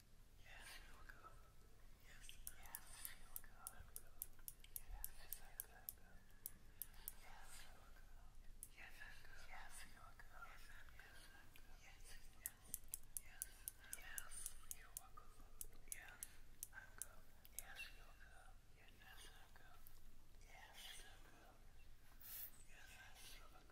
Yes, I feel good. Yes, yes, I feel good. I'm good. Yes, yes, I good. Yes, I feel good. Yes, I'm good. Yes, I feel good. Yes, I'm good. Yes, you are good. Yes, I'm good. Yes, you're good. Yes, I'm good.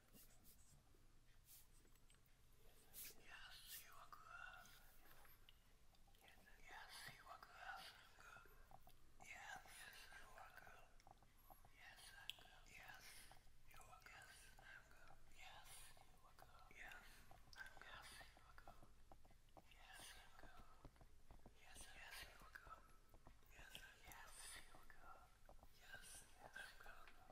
Yes, you are good. Yes, you are good. Yes, you are good. Yes, I'm good. Yes, you are good. I'm good. Yes, you are good. Yes, I'm good. Yes, you are good. Yes, I'm good. Yes, yes, you are good. Yes, yes, you are good. Yes, yes, I'm good.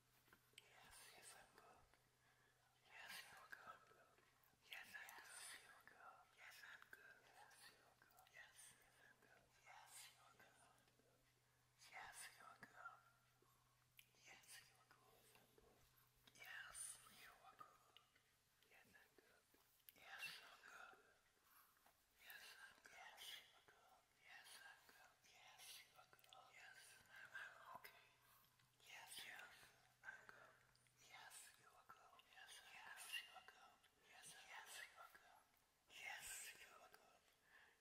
Yes, yes, I'm good. Yes, you're good. Yes, I'm good. Yes, you're good. Yes, I'm good. Yes, you're good. Yes, I'm good. Yes, you're good. Yes, you're good. Yes, you're good. Yes, you are good. Yes, I'm good. Yes, you're good. Yes, I'm good. Yes, you're good. Yes, I'm good. Yes, you are good. Yes, I'm, I'm okay. Yes, yes, I'm good. Yes, you are good. Yes, yes, you are good.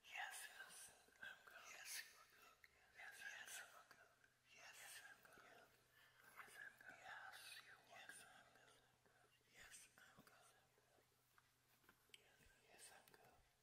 Yes, yes, you are good. Yes, you are good. Yes, yes, I'm good. Yes, you are good. Yes, yes, you are good. Yes, I'm good. Yes, I'm good. Yes, you are good. Yes, I'm good. Yes, I'm good.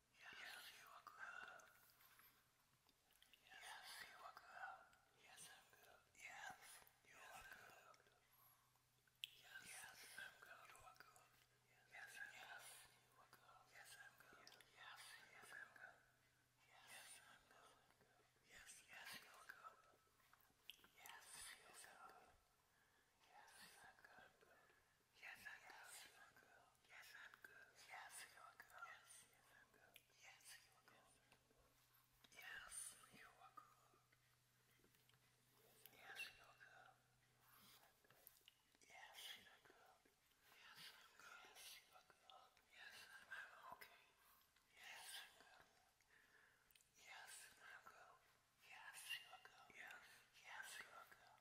Yes, you are good. Yes, you are good. Yes, I'm good. Yes, you are good. Yes, I'm good. You are good. Yes, yes, you are good. Yes, I'm good. Yes, yes, I'm good. Yes, I'm good. Yes, yes, you are good. Yes, yes, I'm good. Yes, I'm good. Yes, I'm good. Yes, I'm good. Yes, you are good. Yes, I'm good. Yes, you are good. Yes, you are good. Yes, you are good. Yes, you are good. Yes, I'm good. Yes, you are good. Yes, I'm okay. Yes, I'm good. Yes, I'm good. Yes, you are good. Yes, yes, you are good.